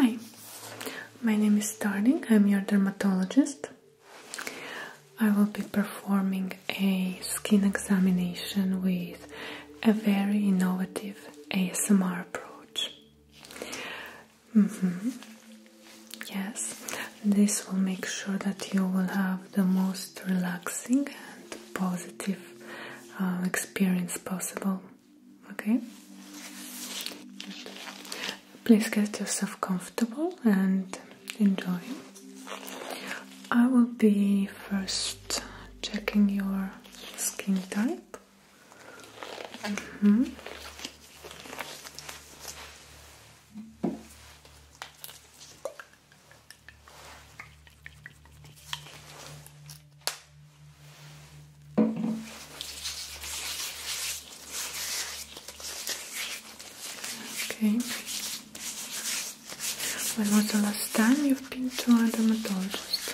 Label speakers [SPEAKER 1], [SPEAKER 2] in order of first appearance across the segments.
[SPEAKER 1] Hi, my name is Darling, I'm your dermatologist. I will be performing a skin examination with a very innovative ASMR approach. Mm-hmm. Yes, this will make sure that you will have the most relaxing and positive uh, experience possible. Okay? Please get yourself comfortable and enjoy. I will be first checking your skin type. Okay. When was the last time you've been to a dermatologist?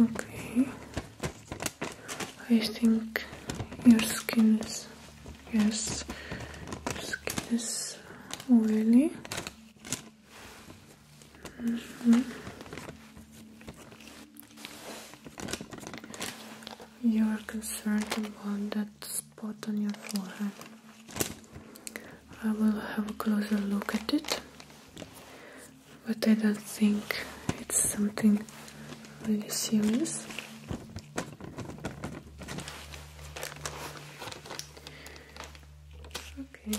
[SPEAKER 1] Okay, I think your skin is yes, your skin is oily. Mm-hmm. You are concerned about that spot on your forehead. I will have a closer look at it but I don't think it's something really serious okay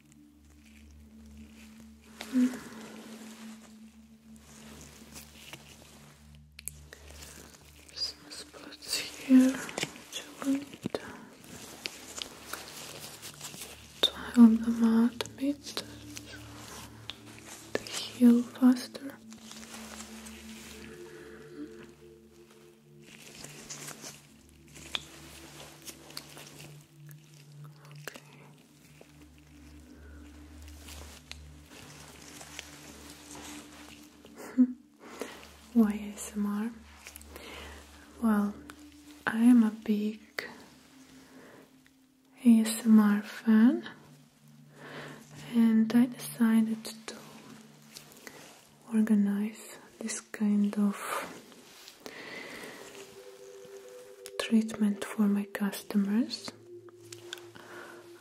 [SPEAKER 1] Mm. Some spots here which to, to help them out a bit to heal faster. Okay. Why ASMR? Well, I am a big ASMR fan and I decided to organize this kind of treatment for my customers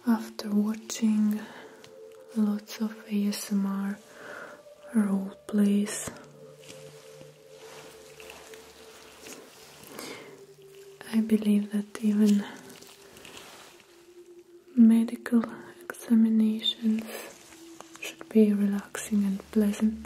[SPEAKER 1] after watching lots of ASMR role plays. I believe that even medical examinations should be relaxing and pleasant.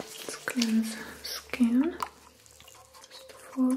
[SPEAKER 1] Let's cleanse skin just for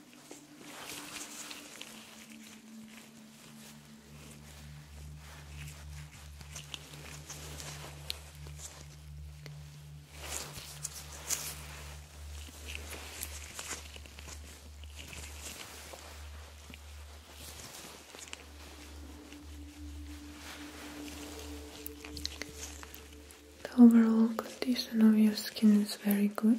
[SPEAKER 1] The overall condition of your skin is very good.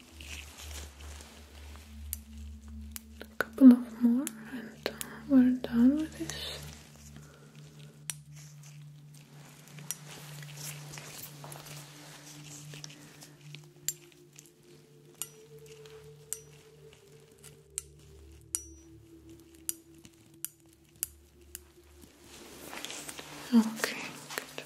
[SPEAKER 1] a couple of more and we're done with this Okay, good.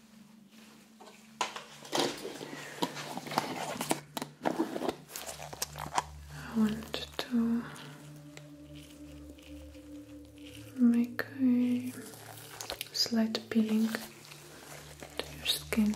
[SPEAKER 1] I want to make a slight peeling to your skin.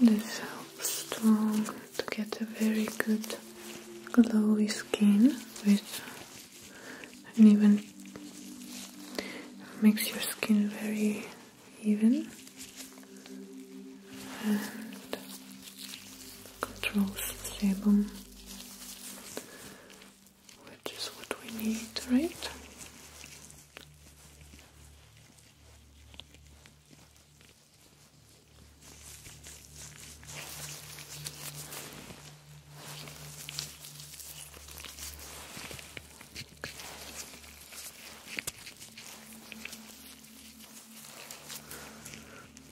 [SPEAKER 1] This helps to, get a very good glowy skin which and even makes your skin very even Controls system which is what we need, right?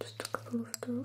[SPEAKER 1] Just a couple of those.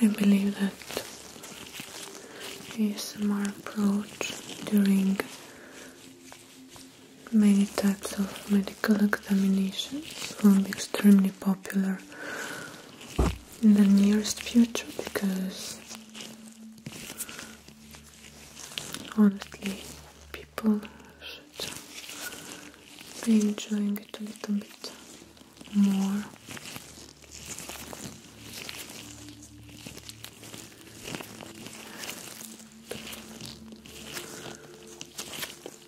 [SPEAKER 1] I believe that ASMR approach during many types of medical examinations will be extremely popular in the nearest future because honestly people should be enjoying it a little bit more.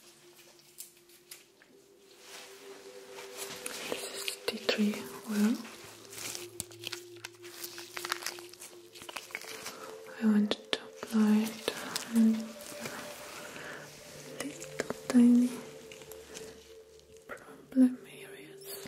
[SPEAKER 1] This is tea tree oil. I want to apply it on your little tiny problem areas.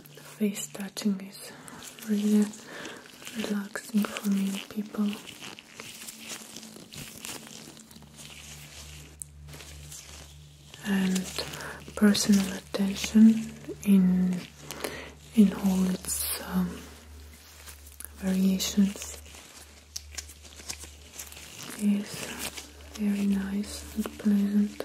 [SPEAKER 1] The face touching is really relaxing for many people. And personal attention in in all its um, variations is very nice and pleasant.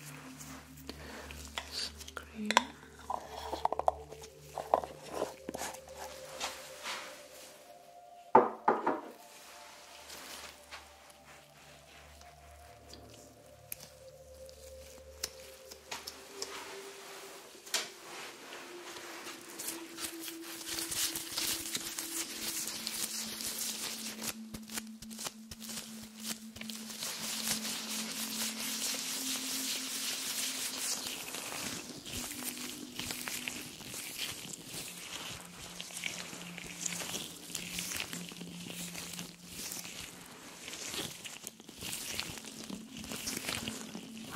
[SPEAKER 1] Some cream.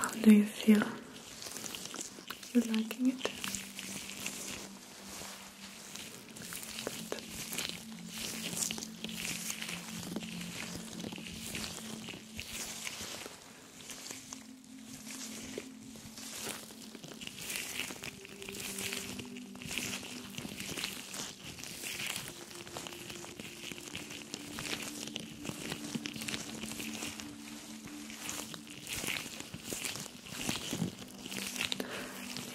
[SPEAKER 1] How do you feel? You liking it?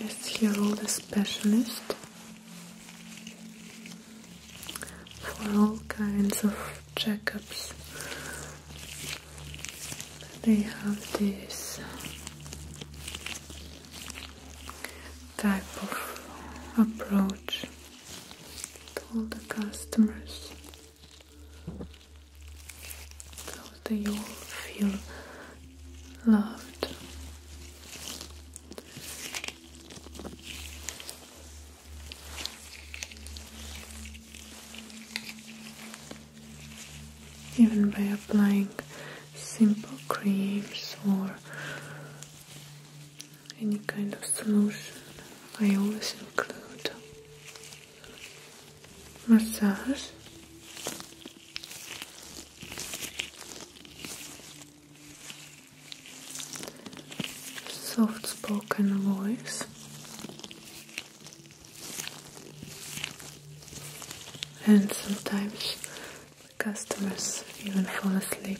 [SPEAKER 1] Let's hear all the specialists for all kinds of checkups. They have this type of approach to all the customers. So they all feel loved even by applying simple creams or any kind of solution, I always include massage soft spoken voice and sometimes the customers even fall asleep.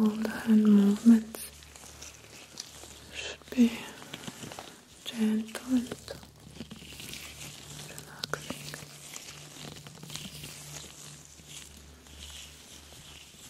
[SPEAKER 1] All the hand movements should be gentle and relaxing.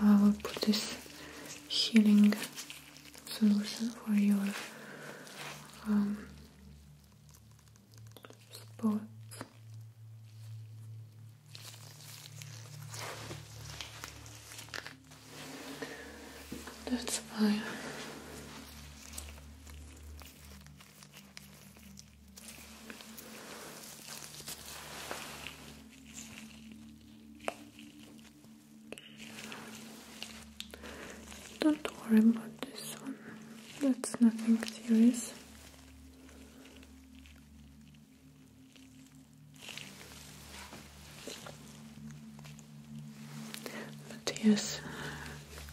[SPEAKER 1] now I will put this healing solution for your um, spot. That's fine. Don't worry about this one, that's nothing serious. yes,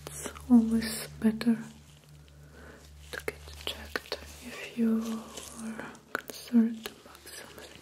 [SPEAKER 1] it's always better to get checked if you are concerned about something.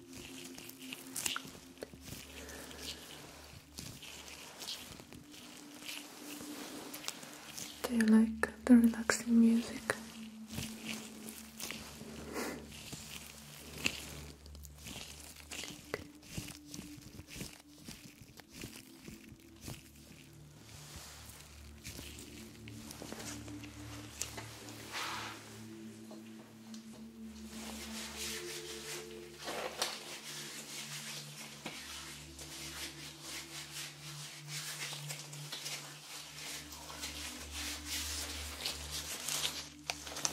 [SPEAKER 1] Do you like the relaxing music?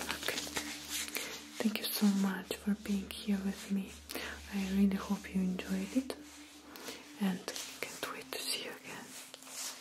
[SPEAKER 1] Okay. Thank you so much for being here with me. I really hope you enjoyed it and can't wait to see you again.